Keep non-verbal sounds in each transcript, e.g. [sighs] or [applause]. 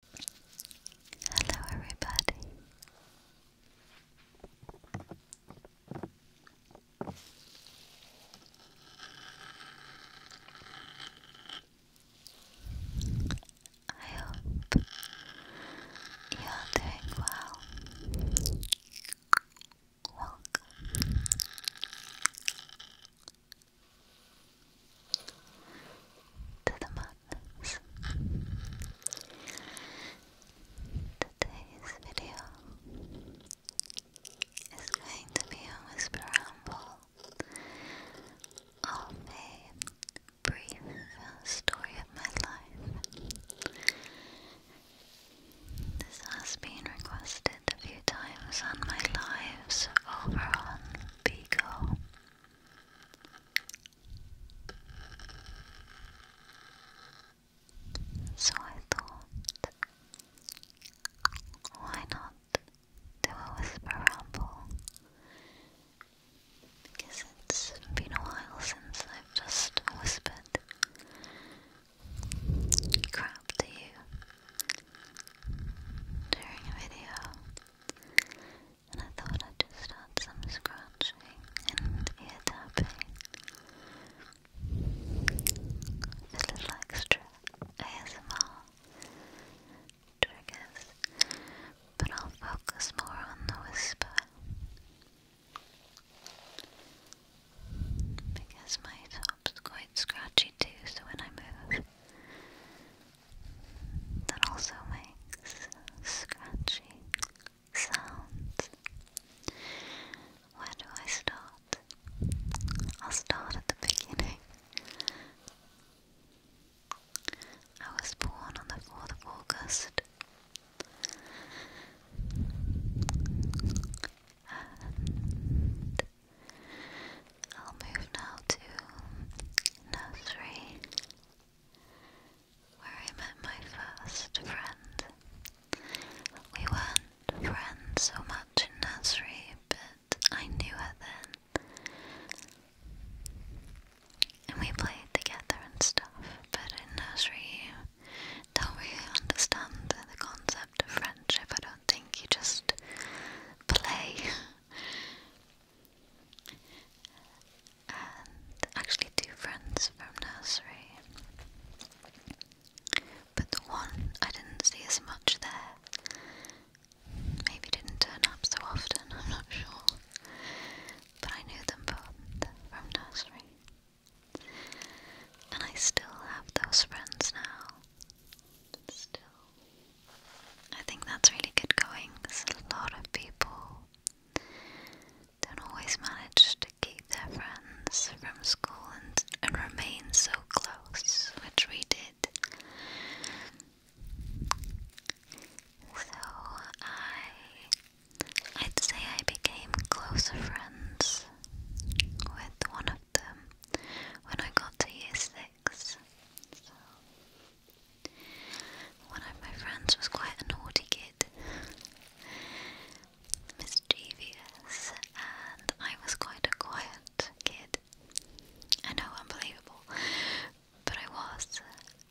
Hello, everybody. I hope you're doing well. Welcome to the madness. Today's video is going to be a whisper ramble a brief story of my life. This has been requested a few times on my lives over on Bigo. So I thought, why not do a whisper ramble? Because it's been a while since I've just whispered crap to you during a video and I thought I'd just start some scratching and ear tapping. Just a little extra ASMR triggers, but I'll focus more on the whisper. Because my top's quite scratchy too, so when I move, that also makes scratchy sounds. Where do I start? I'll start at the beginning. I was born on the 4th of August. And I'll move now to nursery where I met my first friend. We weren't friends so much in nursery, but I knew her then. And we played together and stuff, but in nursery you don't really understand the concept of friendship. I don't think you just play and actually two friends from nursery. But the one I didn't see as much there. Maybe didn't turn up so often, I'm not sure. But I knew them both from nursery. And I still have those friends now. Still. I think that's really good going because a lot of people don't always manage to keep their friends from school and, remain so close, which we did. So I I'd say I became closer friends with one of them when I got to year six. One of my friends was quite a naughty kid, mischievous, and I was quite a quiet kid. I know, unbelievable, but I was,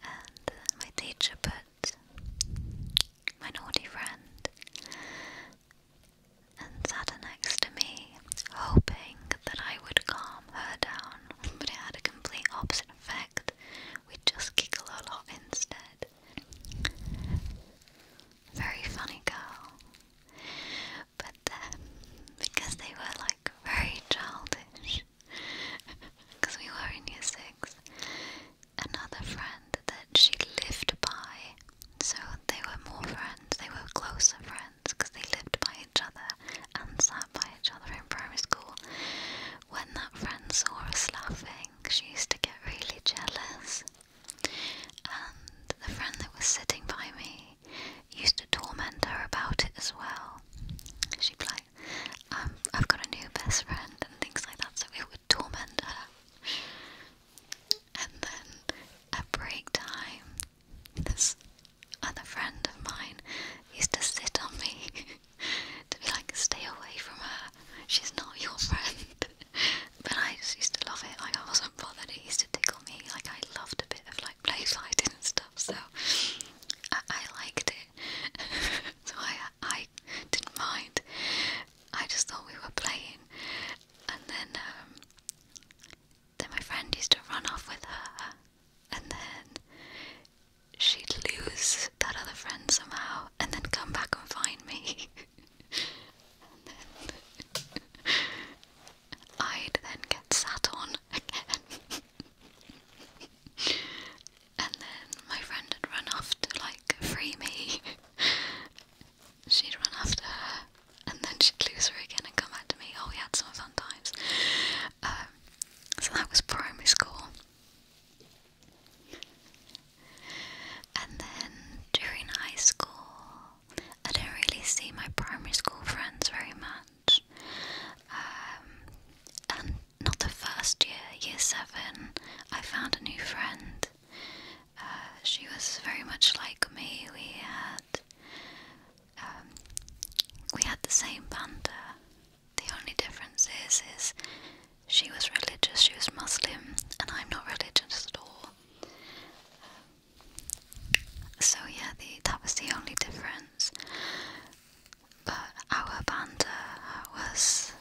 and my teacher put my naughty friend and sat next to me, hoping that I would calm her down, but it had a complete opposite effect we just giggle a lot instead. Very funny girl. But then, because they were like very childish, because [laughs] we were in year six, another friend that she lived by, so they were more friends, they were closer friends because they lived by each other, and sat by each other in primary school. When that friend saw us laughing, she used to get really jealous. And the friend that was sitting by me used to torment her about it as well. She'd be like, um, I've got a new best friend and things like that, so we would torment her. And then at break time, this Another friend of mine used to sit on me [laughs] to be like, stay away from her, she's not your friend. [laughs] but I just used to love it, like I wasn't bothered, it used to tickle me, like I loved a bit of like play fighting and stuff, so I, liked it. [laughs] so I, I didn't mind. I just thought we were playing. And then, um, then my friend used to run off with her, and then she'd lose that other friend somehow and then come back and find me. and [laughs] then I'd then get sat on again. and then my friend had run off to like free me. she'd run after her and then she'd lose her again and come back to me. Oh, we had some fun times. Um, so that was primary school. And then during high school, I didn't really see my primary school friends very much. Um, and not the first year, year seven, I found a new friend. Uh, she was very much like me. We had um, we had the same banter. The only difference is, is she was religious, she was Muslim, and I'm not religious at all. Um, so yeah, the, that was the only difference. But our band was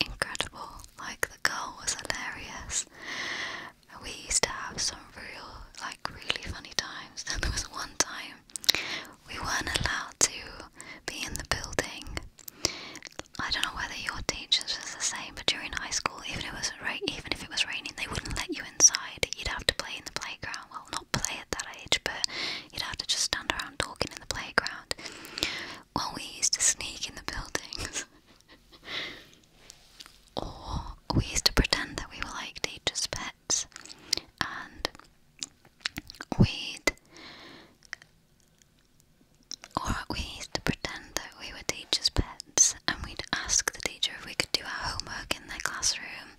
incredible. Like the girl was hilarious. We used to have some real, like really funny times. [laughs] There was one time we weren't allowed to be in the building. I don't know whether your teachers was the same, but during high school, even if it was ra even if it was raining, they wouldn't let you inside. You'd have to play in the playground. Well, not play at that age, but you'd have to just stand around talking in the playground. Well, we used to sneak in the buildings, [laughs] or we used to pretend that we were like teachers' pets, and we'd or we used to pretend that we were teachers' pets and we'd ask the teacher if we could do our homework in their classroom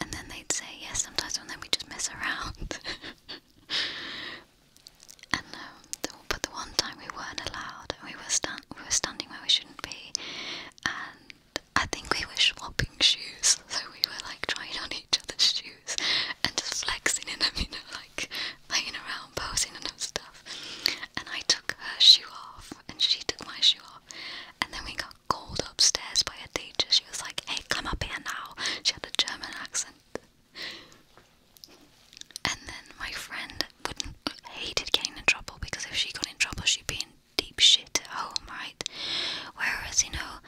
and then they'd say yes sometimes and then we just mess around [laughs] and um, but the one time we weren't allowed and we were, stand we were standing where we shouldn't be and I think we were swapping shoes, so we were like trying on each other's shoes and just flexing in them, you know, like playing around, posing and stuff. And I took her shoe off, and she took my shoe off, and then we got called upstairs by a teacher. She was like, "Hey, come up here now." She had a German accent. And then my friend hated getting in trouble because if she got in trouble, she'd be in deep shit at home, right? Whereas, you know,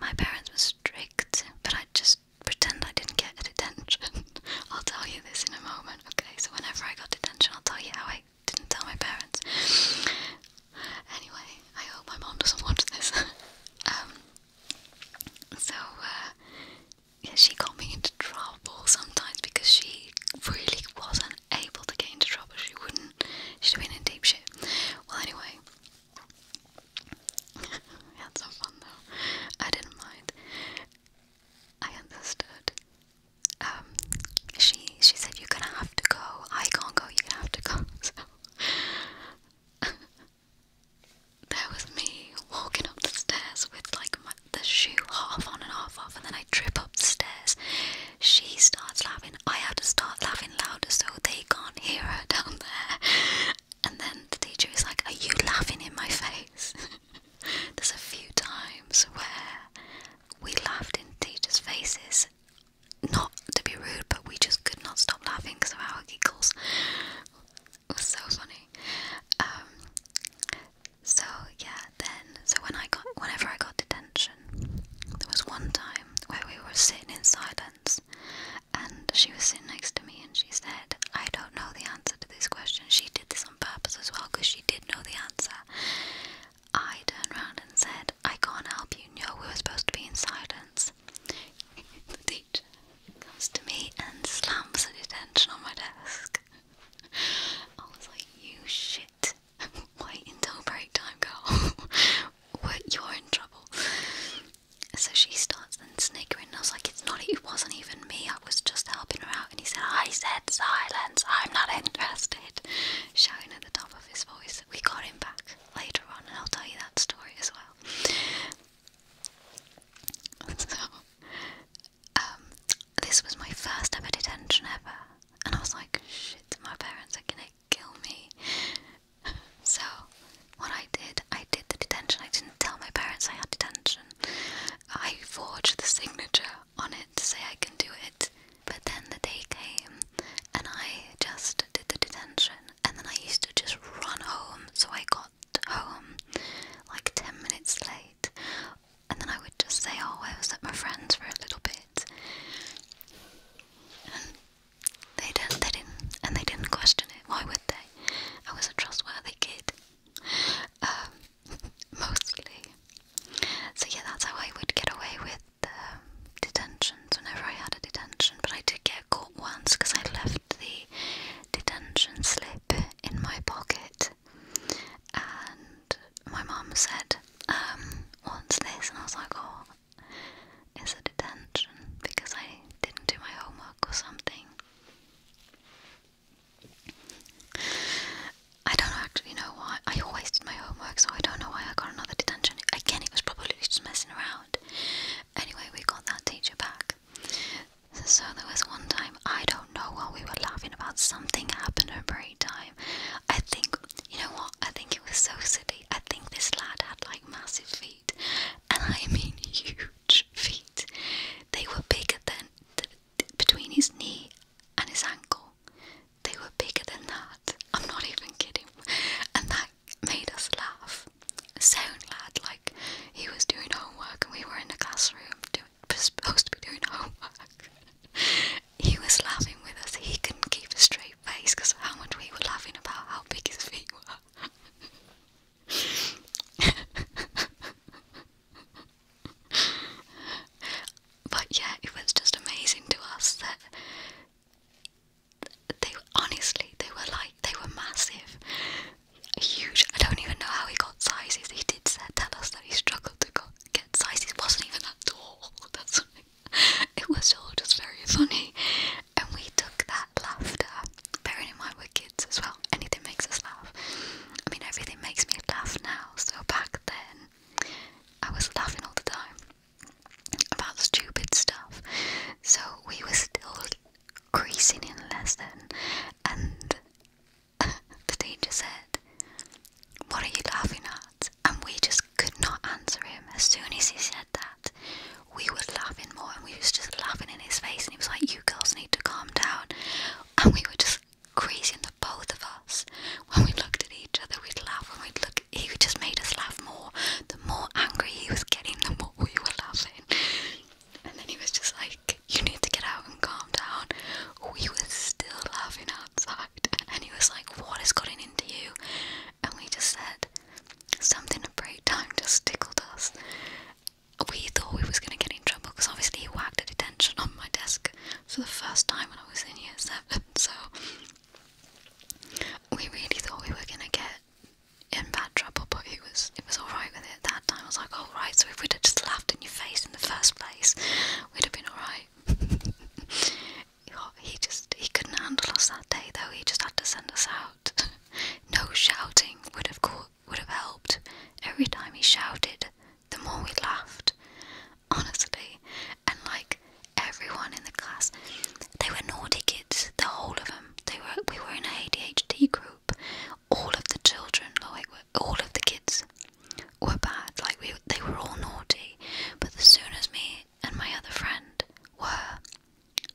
my parents were strict, but I just pretend I didn't get detention. [laughs] I'll tell you this in a moment, okay? So whenever I got detention, I'll tell you how I didn't tell my parents. anyway, I hope my mom doesn't watch this. [laughs] um, so, uh, yeah, she got me into trouble sometimes because she really wasn't able to get into trouble. She wouldn't. She'd been in deep shit. Well, anyway, we had some fun though. I didn't mind. I understood. Um, she she said you're gonna have to go. I can't go. you have to go. [laughs] So [laughs] there was me walking up the stairs with like the shoe half on and half off, and then I trip up the stairs she starts laughing. I have to start laughing louder so they can't hear her down there. And then the teacher is like, Are you laughing in my face? [laughs] There's a few times where we laughed in teachers' faces. Not to be rude, but we just could not stop laughing because of our giggles. It was so funny. Um, so yeah, then so when I got whenever I got detention, there was one time where we were sitting in silence, and she was sitting next to me, and she said, I don't know the answer to this question. She did this on purpose as well because she did know the answer. I turned around and said, I can't help you. No, we were supposed to be in silence. [laughs] the teacher comes to me and slams an detention on my desk. [laughs] I was like, you shit. Wait [laughs] until break time, girl what you're in trouble. So she starts then sniggering, and I was like, it's not, it wasn't even me, I was just helping her out. And he said, I said silence, I'm not interested, shouting at the top of his voice. We got him back later on, and I'll tell you that story as well. [laughs] So, um, this was my first ever detention ever, and I was like, shit, my parents are gonna kill me. So, what I did, I did the detention. I didn't tell my parents I had detention. I forged the signature on it to say I can do it. But then the day came, and I just did the detention. And then I used to just run home, so I got home like 10 minutes late. And then I would just say, Oh, I was at my friend's for a little bit. They did They didn't, and they didn't question it. Why would they? I was a trustworthy kid, um, [laughs] mostly. So yeah, that's how I would get away with um, detentions whenever I had a detention. But I did get caught once because I left the detention slip in my pocket, and my mom said, "Once um, "What's this?" And I was like, "Oh." is a detention because I didn't do my homework or something. I don't actually know why. I always did my homework, so I don't know why I got another detention. Again, it was probably just messing around. Anyway, we got that teacher back. So there was one time, I don't know why we were laughing about, something happened at break time. I think, you know what, I think it was so silly I think this lad had like massive feet, and I mean huge feet. They were bigger than between his knee and his ankle. They were bigger than that. I'm not even kidding. And that made us laugh. So lad, like he was doing homework, and we were in the classroom [laughs] supposed to be doing homework. he was laughing with us. He couldn't keep a straight face because of how much we were laughing about how big his feet were. but yeah, it was just amazing to us that they honestly they were like they were massive, huge. I don't even know how he got sizes. He did tell us that he struggled to get sizes. wasn't even that tall. [laughs] That's [laughs] it was all just very funny, and we took that laughter. Bearing in mind we're kids as well, anything makes us laugh. I mean, everything makes me laugh now. So back then, I was laughing all the time about stupid stuff. So we were still creasing in less than, and [laughs] the teacher said, "What are you laughing at?" And we just could not answer him. As soon as he said that, we were laughing more and we was just laughing in his face and he was like, You girls need to calm down and we were just crazy in the both of us. When we looked at each other we'd laugh and we'd look he just made us laugh more. The more angry he was getting, the more we were laughing. And then he was just like, You need to get out and calm down. We were still laughing outside and he was like, "What is has into you? And we just said, said, something a break time just tickled us. We thought we was going to get in trouble because obviously he whacked a detention on my desk for the first time when I was in year seven, [laughs] so we really thought we were going to get in bad trouble, but it was it was alright with it that time. I was like, alright, so if we'd have just laughed in your face in the first place, we'd have been alright. [laughs] he just he couldn't handle us that day though. He just had to send us out. [laughs] no shouting would have caught, would have helped. Every time he shouted, the more we laughed. Honestly, and like everyone in the class, they were naughty kids. The whole of them. They were. We were in an ADHD group. All of the children, like all of the kids, were bad. Like we, they were all naughty. But as soon as me and my other friend were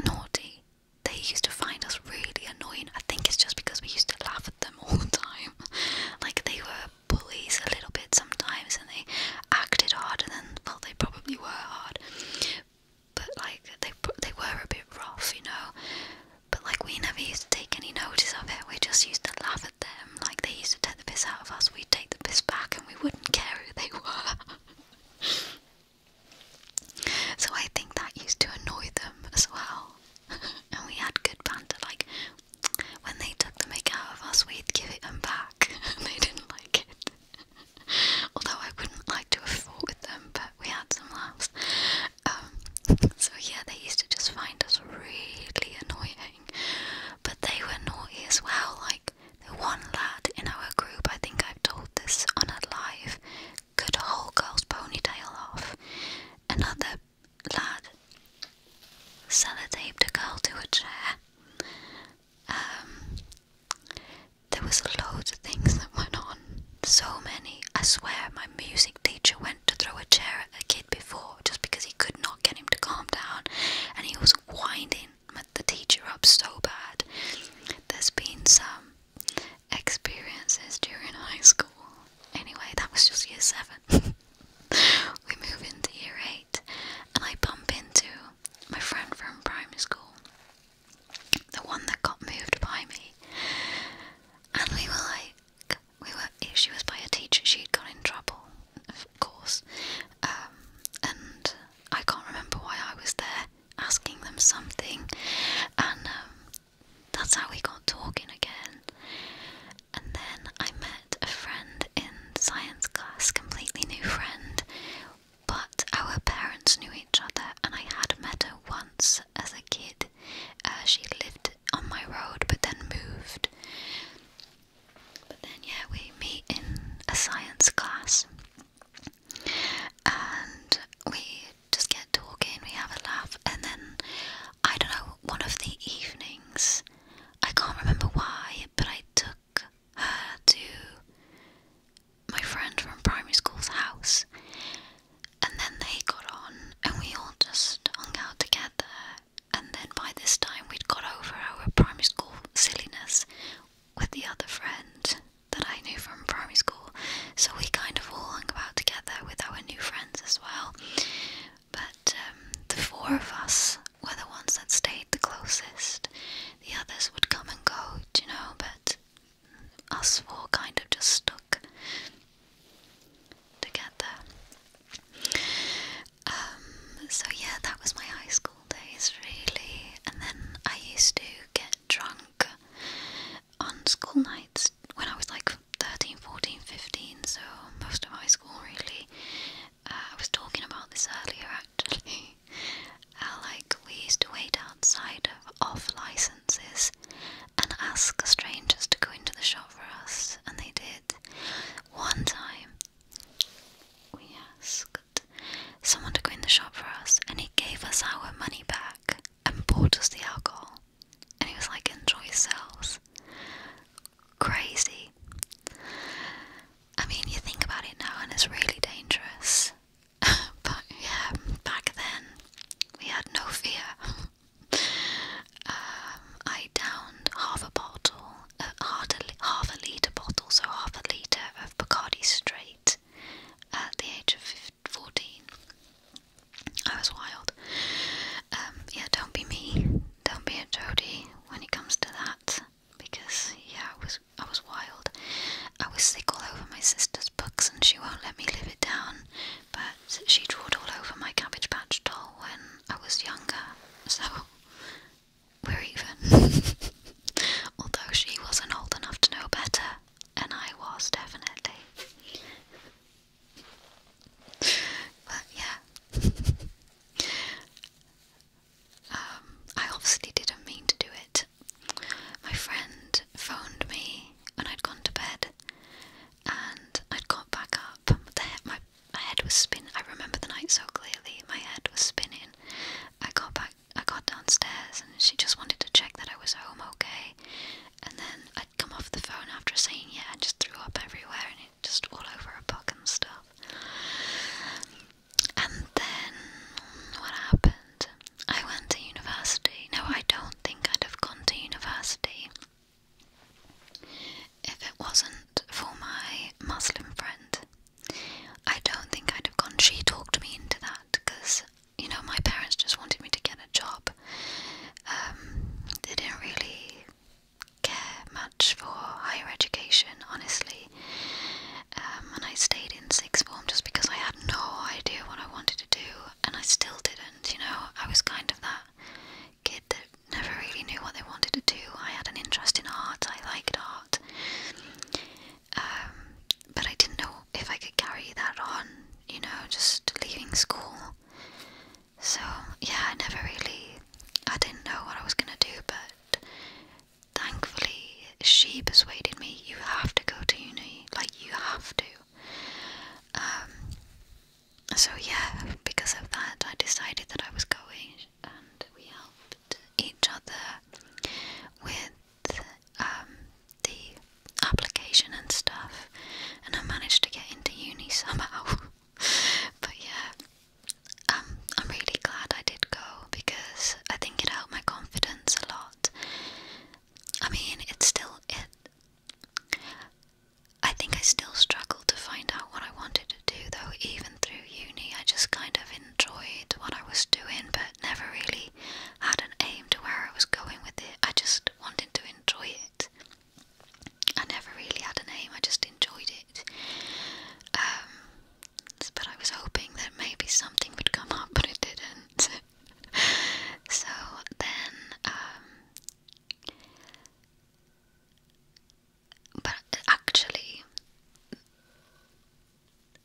naughty. They used to find us really annoying. I think it's just because we used to laugh at them [laughs] all the time. Like they were bullies a little bit sometimes and they acted harder than well they probably were hard. But like they they were a bit rough, you know. But like we never used to take any notice of it. We just used to laugh at them. Like they used to take the piss out of us. We'd take the piss back and we wouldn't care who they [laughs] were. So I think that used to annoy them as well. [laughs] and we had good banter, like when they took the mick out of us, we'd give it them back. [laughs] they didn't like it. [laughs] Although I wouldn't like to have fought with them, but we had some um, laughs. so yeah, they used to just find us really annoying. But they were naughty as well, like the one lad in our group, I think I've told this on a live, cut a whole girl's ponytail off. Another lad sellotaped a girl to a chair. Um, there was loads of things that went on. So many. I swear my music teacher went to throw a chair at a kid before just because he could not get him to calm down and he was winding beating the teacher up so bad. There's been some experiences during high school. Anyway, that was just year seven. [laughs] we move into year eight, and I bump into my friend from primary school, the one that got moved by me, and we were like, we were. She was by a teacher. She'd got in trouble, of course, um, and I can't remember why I was there asking them something, and um, that's how we got talking again. And then I met a friend in science class, completely new friend, but our parents knew each other, and I had met her once as a kid. Uh, she lived on my road but then moved. But then, yeah, we meet in a science class and we just get talking, we have a laugh, and then I don't know, one of the evenings, I can't remember why, but I took her to my friend from primary school's house, and then they got on, and we all just hung out together. And then by this time, we'd got over our primary school silliness with the other friend, that I knew from primary school, so we kind of all hung about together with our new friends as well. But um, the four of us were the ones that stayed the closest. The others would come and go, you know, but us four kind of just stuck together. Um, so yeah, that was my high school days really, and then I used to get drunk on school nights when I was like 13, 14, 15, so most of high school really. Uh, I was talking about this earlier actually. Uh, [laughs] like, we used to wait outside of off licenses and ask strangers to go into the shop for us, and they did. One time, we asked someone to clean the shop for us, and he gave us our money back and bought us the alcohol. And he was like, enjoy yourselves. Crazy. I mean, you think about it now, and it's really dangerous. [laughs] but yeah, back then, we had no fear. [laughs] Um, I downed half a bottle, uh, half a litre bottle, so half a litre of Bacardi straight at the age of 14. I was wild. Um, yeah, don't be me. Don't be a Jodie when it comes to that, because yeah, I was I was wild. I was sick all over my sister's books, and she won't let me live it down. But she drew it all over my Cabbage Patch doll when I was younger, so [laughs] we're even. [laughs] although she wasn't old enough to know better, and I was definitely. but yeah. Um, I obviously didn't mean to do it. My friend phoned me when I'd gone to bed and I'd got back up. The my head was spinning. I remember the night so clearly. My head was spinning. I got back I, got downstairs and she just wanted to check that I was home okay. And then I'd come off the phone after saying yeah and just threw up everywhere and it just all over her book and stuff. And then what happened? I went to university. No, I don't think I'd have gone to university if it wasn't for my Muslim friend I don't think I'd have gone. She talked me into that because, you know, my parents just wanted me to get a job. Um, they didn't really care much for higher education, honestly. Um, and I stayed in sixth form just because I had no idea what I wanted to do, and I still didn't, you know. I was kind of that kid that never really knew what they wanted to do. I had an interest in art, I liked art. Um, but I didn't know if I could carry that on, you know, just leaving school. So, yeah, I never really. I didn't know what I was gonna do, but thankfully she persuaded me you have to go to uni, like, you have to. Um, so, yeah, because of that, I decided that I was going, and we helped each other with um, the application and stuff, and I managed to get into uni [laughs] somehow. but yeah, um, I'm really glad I did go because I think it helped my confidence a lot. I mean, it's still it. I think I still struggled to find out what I wanted to do, though. Even through uni, I just kind of enjoyed what I was doing, but never really had an aim to where I was going with it. I just wanted to enjoy it. I never really had a aim, I just enjoyed it. Um, but I was hoping that maybe something would come up, but it didn't. [laughs] so then, um, but actually,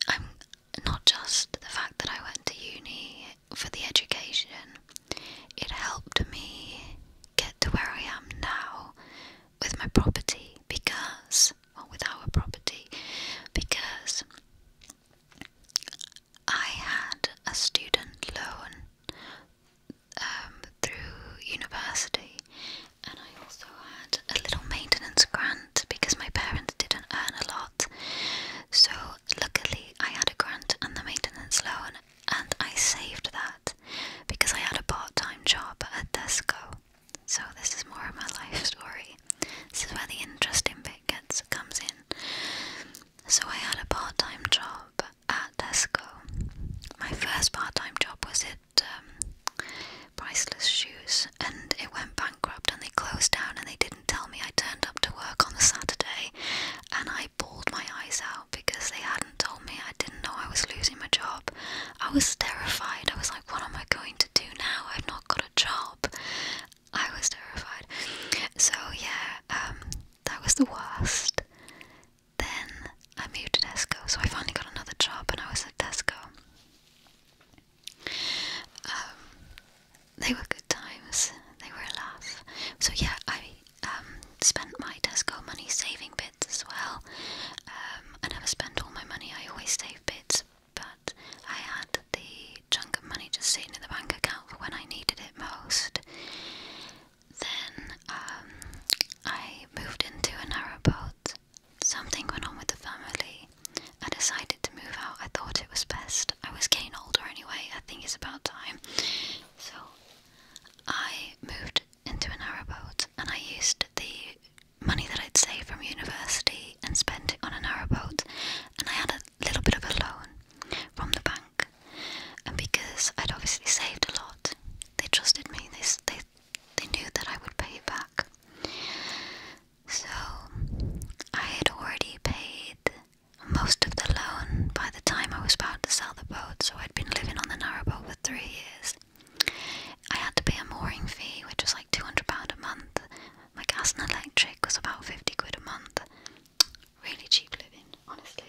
I'm not just the fact that I went to uni for the education, it helped me get to where I am now with my property because, well, with our property, because I had a student loan um, through university, and I also had a little maintenance grant because my parents didn't earn a lot. So, luckily, I had a grant and the maintenance loan, and I saved that because I had a part time job at Tesco. So, this is more of my life story. This is where the interesting bit gets comes in. So, I had a part time job at Tesco. My first part time job was at um, Priceless Shoes, and it went bankrupt and they closed down and they did tell me I turned up to work on the Saturday and I bawled my eyes out because they hadn't told me. I didn't know I was losing my job. I was terrified. I was like, what am I going to do now? I've not got a job. I was terrified. So, yeah, um, that was the worst. Then I moved to Tesco, so I finally got another job and I was at Tesco. Um, they were good times. They were a laugh. So yeah, I um, spent my Tesco money saving bits as well. Um, I never spent all my money. I always save bits, but I had the chunk of money just sitting in the bank account for when I needed it most. Then I moved into a boat. Something went on with the family. I decided to move out. I thought it was best. I was getting older anyway. I think it's about time. So I moved into a narrowboat and I used the money that I'd saved from university and spent it on a narrowboat. And I had a little bit of a loan from the bank. And because I'd obviously saved a lot, they trusted me. They, they, they knew that I would pay it back. So, I had already paid most of the loan by the time I was about to sell the boat, so I'd been living on the narrowboat for three years. I had to pay a mooring fee, which was like £200 a month. My gas and electric was about 50 quid a month. Really cheap living, honestly.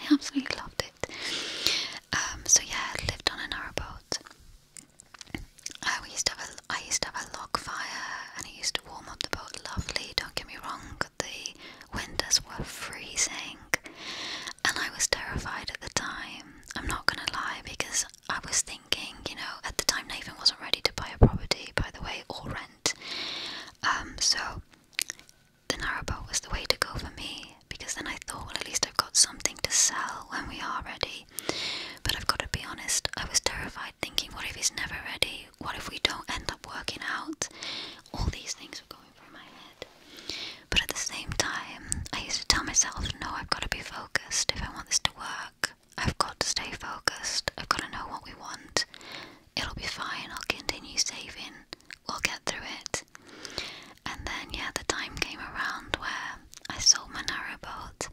I absolutely loved it. Um, so, yeah, I lived on a narrowboat. I oh, used to have a, I used to have a log fire, and it used to warm up the boat lovely. Don't get me wrong, the winters were freezing, and I was terrified at the time. I'm not gonna lie, because I was thinking, you know, at the time Nathan wasn't ready to buy a property, by the way, or rent. Um, so the narrowboat was the way to go for me, because then I thought, well, at least I've got something to sell when we are ready. But I've got to be honest, I was terrified thinking, what if he's never ready? What if we don't end up working out? All these things were going through my head. But at the same time, I used to tell myself, no, I've got to be focused if I want this to work. I've got to stay focused. I've got to know what we want. It'll be fine. I'll continue saving. We'll get through it. And then, yeah, the time came around where I sold my narrowboat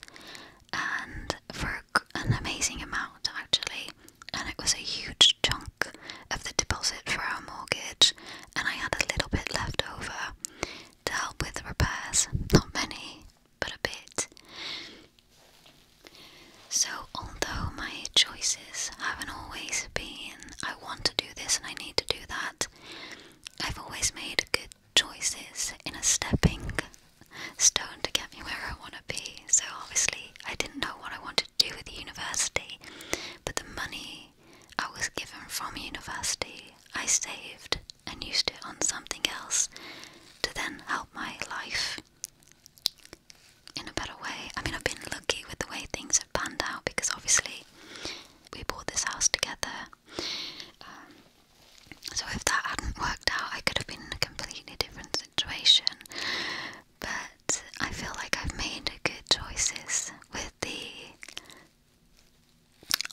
and for an amazing amount actually, and it was a huge chunk of the deposit for our mortgage, and I had a little bit left over to help with repairs. Not many, but a bit. So, although my choices haven't always been, I want to do this and I need to do that, I've always made good choices in a stepping stone to get me where I want to be. So obviously, I didn't know what I wanted to do with university, but the money I was given from university, I saved and used it on something else to then help my life in a better way. I mean, I've been lucky with the way things have panned out because obviously we bought this house together. Um, so, if that hadn't worked out, I could have been in a completely different situation. But I feel like I've made good choices with the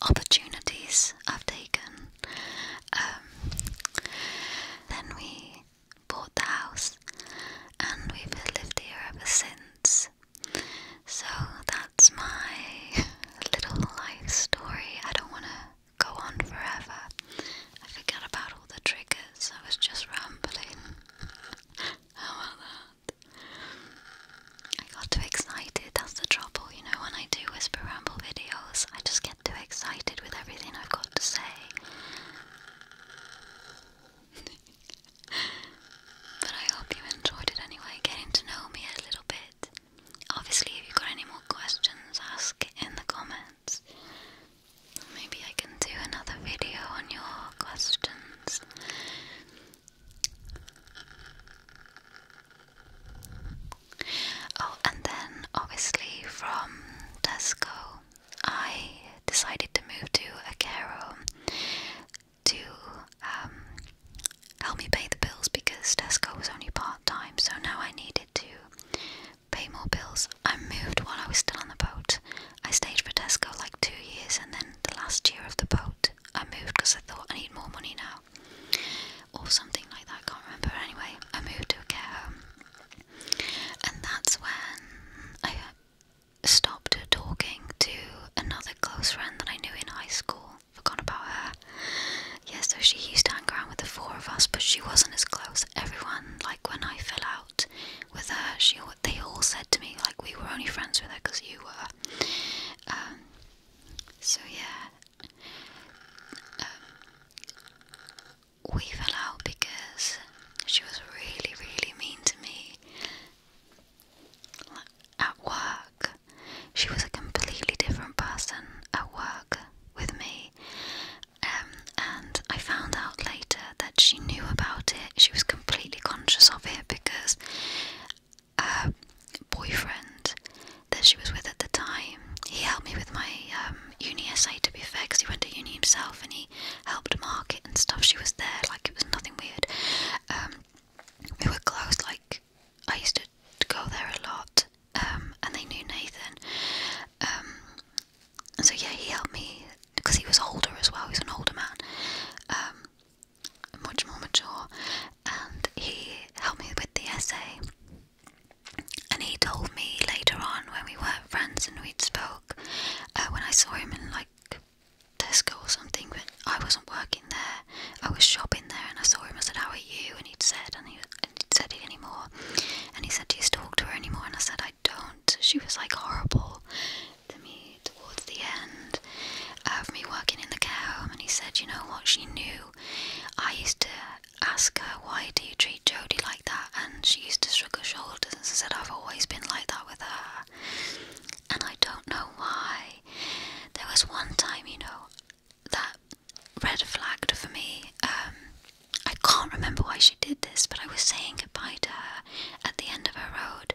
opportunities I've taken. Um, then we bought the house and we've lived here ever since. So that's my [laughs] little life story. I don't want to go on forever. I forgot about all the triggers, I was just rambling. How about that? I got too excited, that's the trouble, you know, when I do whisper ramble videos, I just get too excited with everything I've got to say. [laughs] but I hope you enjoyed it anyway, getting to know me a little bit. Obviously, if you've got any more questions, ask in the comments. Maybe I can do another video on your questions. Oh, and then obviously from Tesco, I decided to move to a care home to um, help me pay the bills because Tesco was only part time, so now I needed to pay more bills. I moved while I was still on the boat. I stayed for Tesco like two years, and then the last year of the boat, I moved because I thought I need more money now, or something like that. I can't remember. Anyway, I moved to a care home, and that's when I uh, stopped talking to another close friend that I knew in high school. Forgot about her, Yes, so she used to hang around with the four of us, but she wasn't as close. Everyone, like when I fell out with her, she they all said to me like we were only friends with her because you were. Um, so yeah, um, we fell out because she was really, really mean to me. At work, she was a completely different person at work with me, um, and I found out later that she knew about it. She was completely conscious of it because her boyfriend that she was with at the time, he helped me with my um, uni essay to be fair because he went to uni himself and he helped mark it and stuff. She was there, like it was nothing weird. Um, we were close, like I used to go there a lot um, and they knew Nathan. and um, so yeah, he helped me because he was older as well. He's an older man, um, much more mature, and he helped me with the essay. And he told me later on when we were friends and we'd spoke, uh, when I saw him in like Tesco or something, but I wasn't working there. I was shopping there, and I saw him. I said, "How are you?" And he said, and he, said it anymore. And he said, Do you talk to her anymore? And I said, I don't. She was like horrible to me towards the end uh, of me working in the care home. And he said, You know what? She knew. I used to ask her, Why do you treat Jody like that? And she used to shrug her shoulders and said, I've always been like that with her. And I don't know why. There was one time, you know, that red flagged for me. Um, I can't remember why she did this, but I was saying goodbye to her at the end of her road,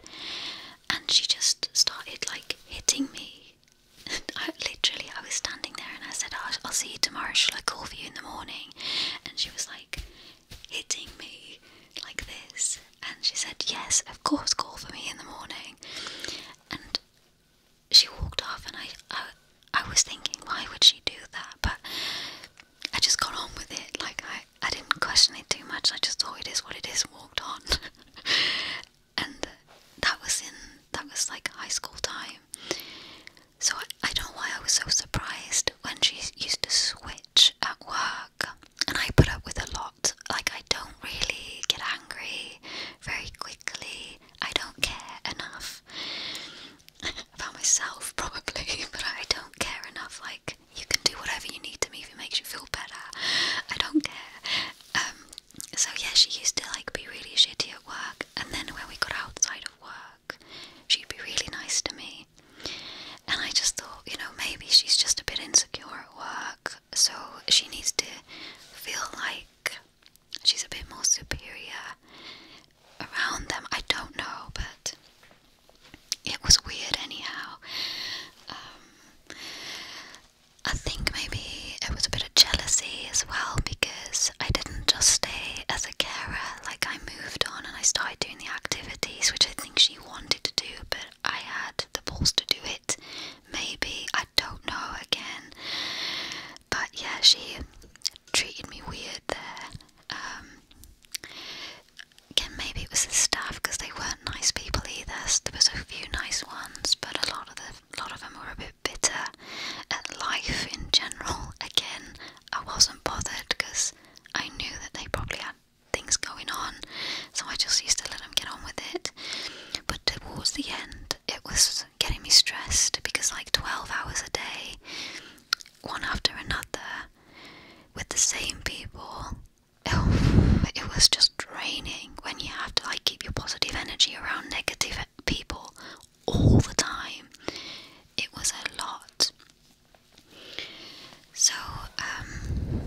and she just started like hitting me. [laughs] literally, I was standing there and I said, I'll see you tomorrow. Shall I call for you in the morning? And she was like, hitting me like this. And she said, Yes, of course, call for me in the morning. And she walked off, and I, I, was thinking, why would she do that? But I just got on with it. Like I, I didn't question it too much. I just thought it is what it is. Walked on, [laughs] and that was in that was like high school time. So I don't know why I was so surprised when she used to switch at work, and I put up with a lot. Like I don't really get angry very quickly. I don't care enough about myself, probably, [laughs] but I don't care enough. Like, you can do whatever you need to me it makes you feel better. I don't care. Um, so yeah, she used to like be really shitty at work, and then when we got outside of work, she'd be really nice to me. And I just thought, you know, maybe she's just a bit insecure at work, so she needs to feel like she's a bit more superior around them. I don't know, but it was weird anyhow. Um, I think maybe it was a bit of jealousy as well because I didn't just stay as a carer, like, I moved on and I started doing the activities which I think she wanted to do, but I had the balls to do it. Maybe, I don't know again. But yeah, she treated me weird there. Um, again, maybe it was the staff because they weren't nice people either. there was a few nice ones, but a lot of the lot of them were a bit bitter at life in general. Again, I wasn't bothered because I knew that they probably had things going on, so I just used to let them get on with it. But towards the end, it was getting me stressed because, like, 12 hours a day, one after another, with the same people, [sighs] it, was just draining when you have to, like, keep your positive energy around negative people all the time. It was a lot. So, um,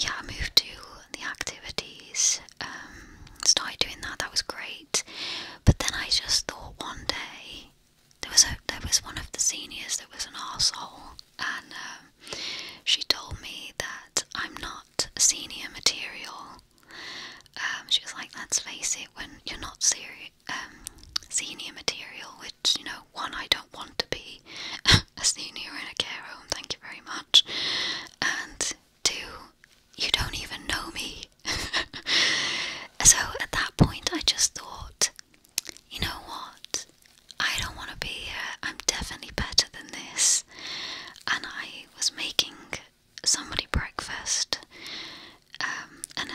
yeah, I moved to the activities, um, started doing that, that was great. But then I just thought one day there was a, there was one of the seniors that was an arsehole and um, she told me that I'm not senior material. Um, she was like, let's face it, when you're not seri um, senior material, which, you know, one, I don't want to be [laughs] a senior in a care home, thank you very much, and two, you don't even know me. [laughs] so at that point, I just thought, you know what? I don't want to be here. I'm definitely better than this. And I was making somebody breakfast, um, and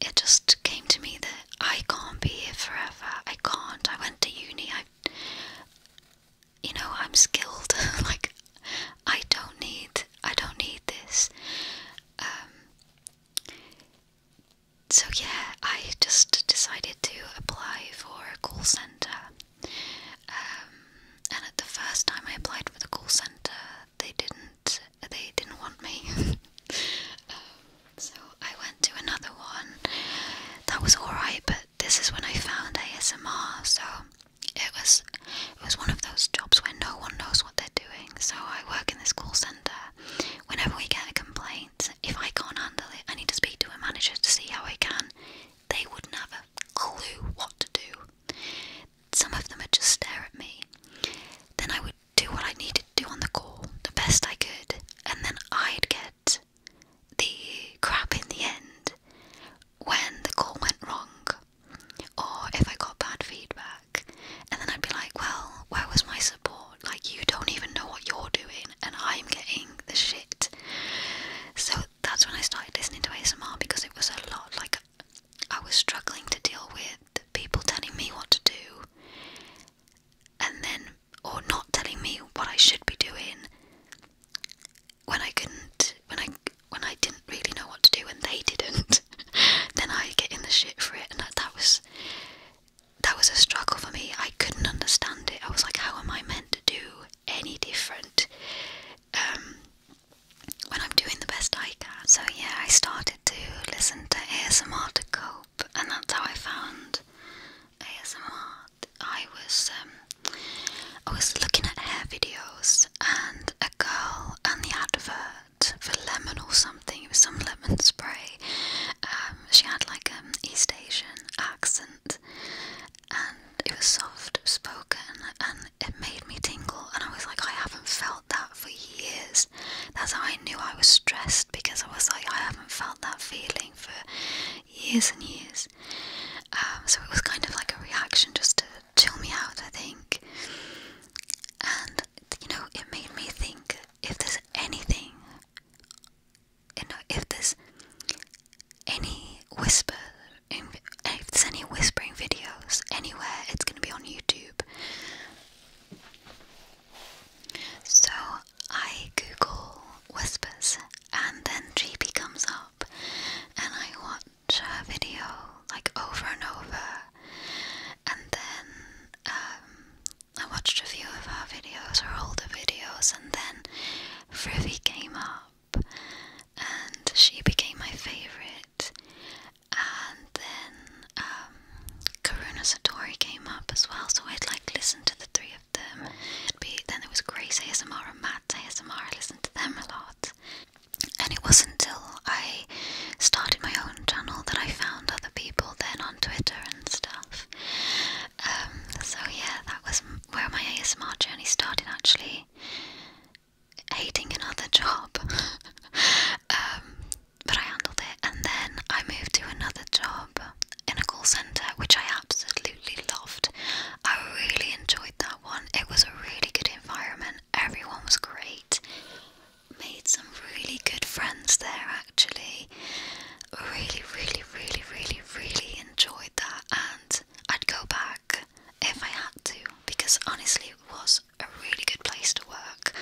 it just came to me that I can't be here forever. I can't. I went to uni. I, you know, I'm skilled. [laughs] like, I don't need. I don't need this. Um, so yeah, I just decided to apply for a call center. Um, and at the first time I applied for the call center, they didn't they didn't want me. [laughs] Um, so I went to another one. That was alright, but this is when I found ASMR, so it was it was one of those jobs where no one knows what they're doing. So I work in this call centre. Whenever we get a complaint, if I can't handle it, I need to speak to a manager to see how I can. They wouldn't have a clue what to do. Some of them would just stare at me. Then I would do what I needed to do on the call, the best I could, and then I'd get the crap in the end when the call went wrong or if I got bad feedback, and then I'd be like, well, where was my support? Like, you don't even know what you're doing, and I'm getting the shit. So that's when I started listening to ASMR because it was a lot like I was struggling to deal with people telling me what to do, and then, or not telling me what I should be doing when I couldn't, when I when I didn't really know what to do and they didn't, [laughs] then I get in the shit for it, and that, was that was a struggle for me. I couldn't understand it. I was like, how am I meant to do any different um, when I'm doing the best I can? So yeah, I started to listen to ASMR to cope, and that's how I found ASMR. I was um, I was looking at hair videos and a girl and the advert for lemon or something. It was some lemon spray. Um, she had like an um, East Asian accent, and it was soft spoken, and it made me tingle. And I was like, I haven't felt that for years. That's how I knew I was stressed because I was like, I haven't felt that feeling for years and years. Um, so it was kind of like a reaction just to chill me out, I think. And you know, it made me think if there's anything, you know, if there's any whisper, if there's any whispering videos anywhere, it's gonna be on YouTube. So I Google whispers, and then Jeepy comes up, and I watch her video like over and over and then um, I watched a few of her videos, her older videos, and then Frivy came up, and she became my favourite. And then um, Karuna Satori came up as well, so I'd like listen to the three of them. it then there was Grace ASMR and Matt ASMR. I listened to them a lot. And it wasn't until I started my own channel that I found other people then on Twitter and stuff. Um, so, yeah, that was where my ASMR journey started actually. Hating another [laughs] job. Um, but I handled it, and then I moved to another job in a call centre, which I absolutely loved. I really enjoyed that one. It was a really good environment, everyone was great made some really good friends there actually. Really, really, really, really, really enjoyed that, and I'd go back if I had to because honestly, it was a really good place to work.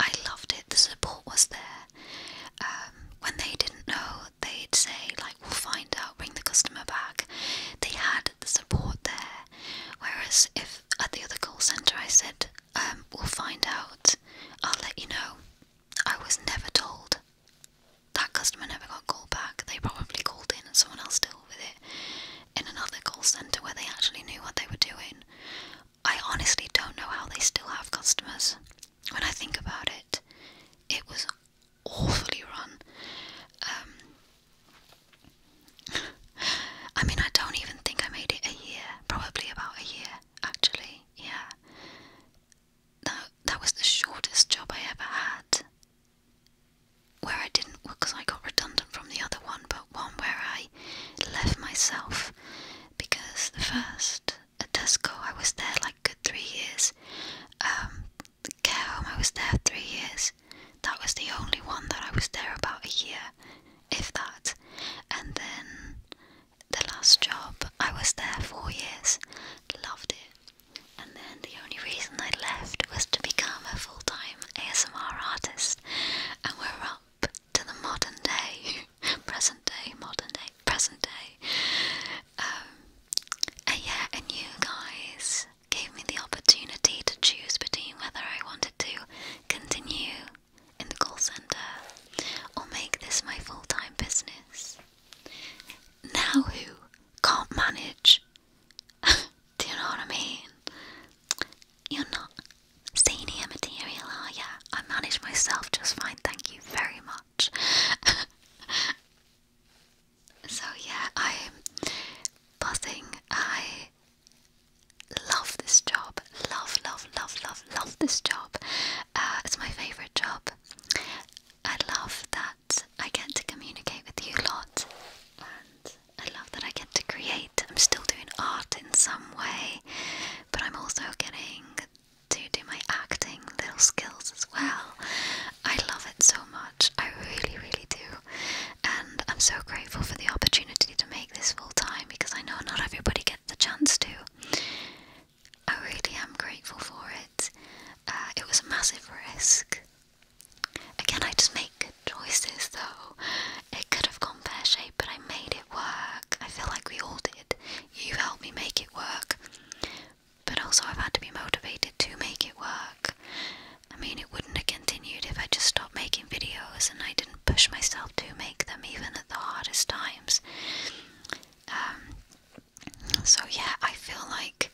I loved it, the support was there. Um, when they didn't know, they'd say, like, we'll find out, bring the customer back. They had the support there Whereas if at the other call centre I said, um, we'll find out, I'll let you know, I was never told. That customer never got called back. They probably called in and someone else dealt with it in another call centre where they actually knew what they were doing. I honestly don't know how they still have customers. When I think about it, it was awfully run. Um, I mean, I don't even think I made it a year, probably about a year, actually, yeah. That, that was the shortest job I ever had. Where I didn't, because I got redundant from the other one, but one where I left myself because the first at Tesco I was there like good three years. Um, care home I was there three years. That was the only one that I was there about a year, if that. And then the last job, I was there four years, loved it. And then the only reason I left was to become a full time ASMR artist. And we're up to the modern day, [laughs] present day, modern day, present day. Um, and yeah, and you guys gave me the opportunity to choose between whether I wanted to continue in the call center or make this my full time business. Now, who can't manage? [laughs] Do you know what I mean? You're not senior material, are you? I manage myself just fine, thank you very much. [laughs] so, yeah, I'm buzzing. I love this job. Love, love, love, love, love this job. Uh, it's my favourite job. I love that I get to communicate with you a lot, and I love that I get to create. I'm still doing art in some way, but I'm also getting to do my acting little skills as well. I love it so much. I really, really do. And I'm so grateful for the opportunity to make this full time because I know not everybody gets the chance to. I really am grateful for it. Uh, it was a massive risk. Again, I just make good choices though. It could have gone pear shaped, but I made it work. I feel like we all did. You helped me make it work. But also, I've had to be motivated to make it work. I mean, it wouldn't have continued if I just stopped making videos and I didn't push myself to make them even at the hardest times. Um, so, yeah, I feel like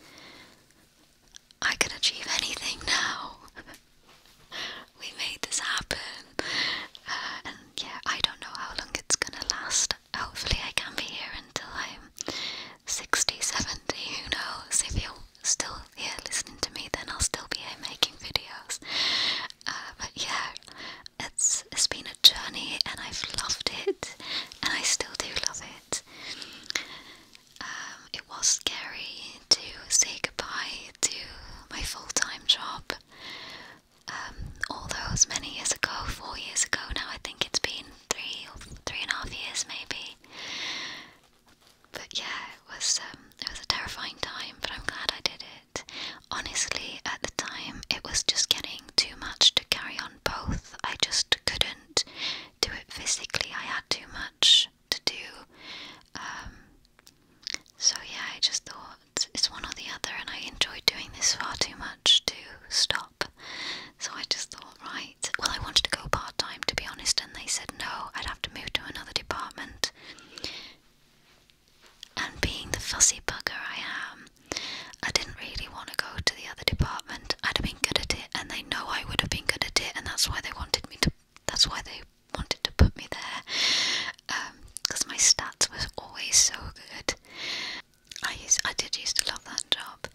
I can achieve anything [laughs] now. we made this happen. Uh, and yeah, I don't know how long it's gonna last. Hopefully, I can be here until I'm 60, 70. Who knows if you're still here listening to me, then I'll still be here making videos. Uh, but yeah, it's it's been a journey, and I've loved it, and I still do love it. Um, it was scary to say goodbye to my full-time job. Um, although it was many years ago, four years ago now, I think it's been three or three and a half years maybe but yeah, it was um, it was a terrifying time, but I'm glad I did it. Honestly, at the time, it was just getting too much to carry on both. I just couldn't do it physically. I had too much to do. Um, so yeah, I just thought it's one or the other, and I enjoyed doing this far too much to stop. So I just thought, right, well, I wanted to go part time to be honest, and they said no, I'd have to move to another department. And being the fussy bugger I am, I didn't really want to go to the other department. I'd have been good at it, and they know I would have been good at it, and that's why they wanted me to. That's why they wanted to put me there, because um, my stats was always so good. I used, I did used to love that job,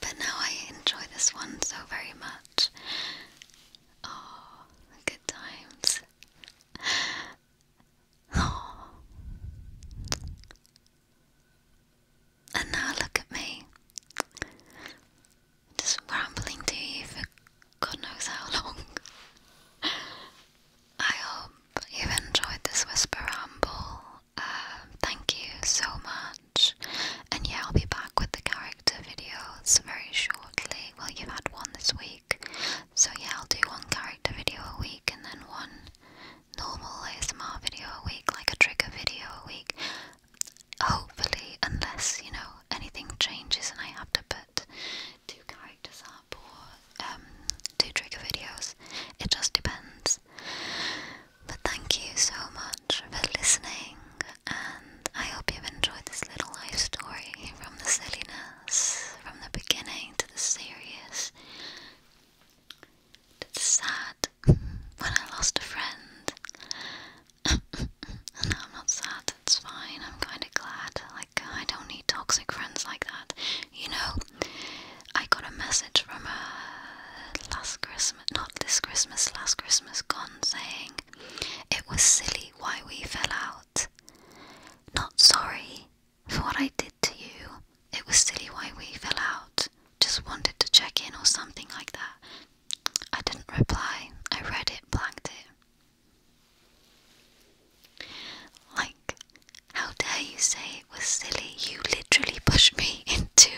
but now I enjoy this one so very much. Oh, good times. [sighs] And now look at me. Just rambling to you for God knows how long. [laughs] I hope you've enjoyed this whisper ramble. Uh, thank you so much. And yeah, I'll be back with the character videos very shortly. Well, you've had one this week. So yeah, I'll do one character video a week and then one normal ASMR video a week, like a trigger video a week. Hopefully, unless, you know, anything changes and I have to put two characters up or um, two trigger videos. It just depends. But thank you so much for listening I hope you've enjoyed this little life story from the silliness, from the beginning to the serious, to sad when I lost a friend. [laughs] no, I'm not sad, it's fine, I'm kinda glad. Like, I don't need toxic friends like that. You know, I got a message from her uh, last Christmas, not this Christmas, last Christmas gone, saying, It was silly why we fell out. Not sorry for what I did to you. It was silly why we fell out. Just wanted to check in or something like that. I didn't reply. I read it, blanked it. Like, how dare you say it was silly? You literally pushed me [laughs] into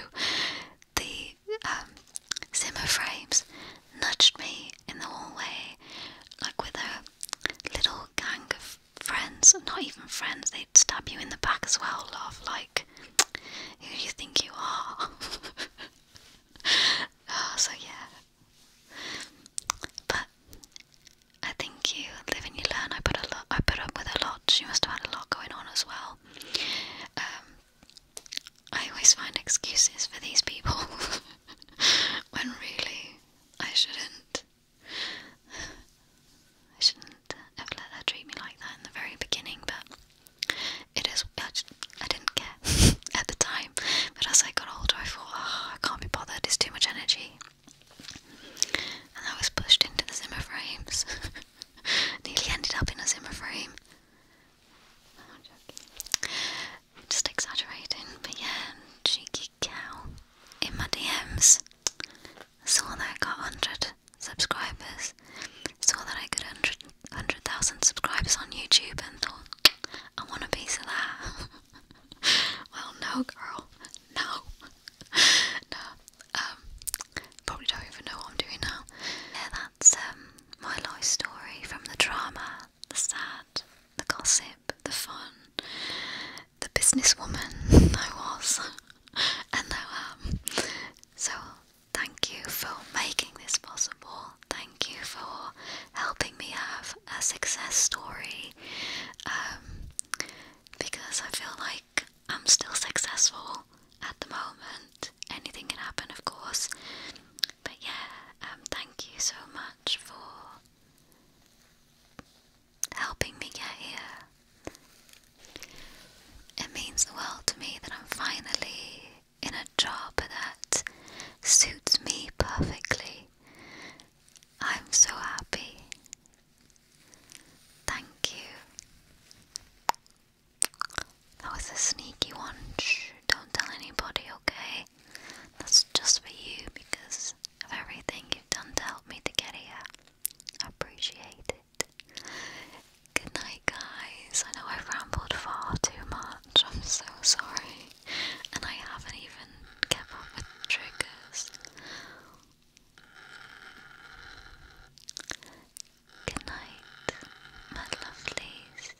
the um, Zimmer frames nudged me in the hallway, like with a little gang of friends, not even friends, they'd stab you in the back as well, love, like, who do you think you are? oh, [laughs] so yeah. But I think you live and you learn. I put a lot. I put up with a lot. She must have had a lot going on as well. Um, I always find excuses for these people. [laughs] when really I shouldn't. I shouldn't have let her treat me like that in the very beginning, but it is. I, didn't care [laughs] at the time, but as I got older, I thought, ah, I can't be bothered, it's too much energy. And I was pushed into the Zimmer frames. [laughs] Nearly ended up in a Zimmer frame just exaggerating, but yeah, cheeky cow in my DMs. Saw that I got 100 subscribers, saw that I got 100,000 100, subscribers on YouTube, and thought, I want a piece of that. [laughs] well, no, girl, no, [laughs] no. Um, probably don't even know what I'm doing now. Yeah, that's um my life story from the drama the sad, the gossip, the fun, the businesswoman [laughs] I was [laughs] and now am. So, thank you for making this possible. Thank you for helping me have a success story um, because I feel like I'm still successful at the moment. Anything can happen, of course. But yeah, um, thank you so much for helping me get here. It means the world to me that I'm finally in a job that suits me perfectly. I'm so happy. Thank you. That was a sneaky one. don't tell anybody, okay? That's just for you because of everything you've done to help me to get here. I appreciate it. Good night, guys. I know I've rambled far too much. I'm so sorry. And I haven't even kept up with triggers. Good night, my lovelies.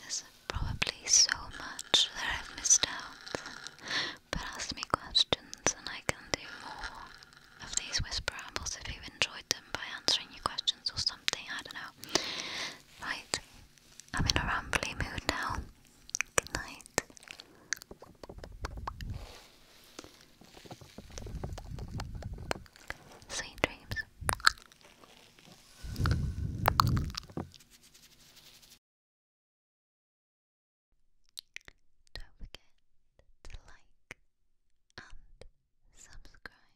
There's probably so much that I've missed out, but ask me questions and I can do more of these whisper ambles. if you've enjoyed them by answering your questions or something, I don't know. Right, I'm in a rambly mood now. Good night. Sweet dreams. Don't forget to like and subscribe.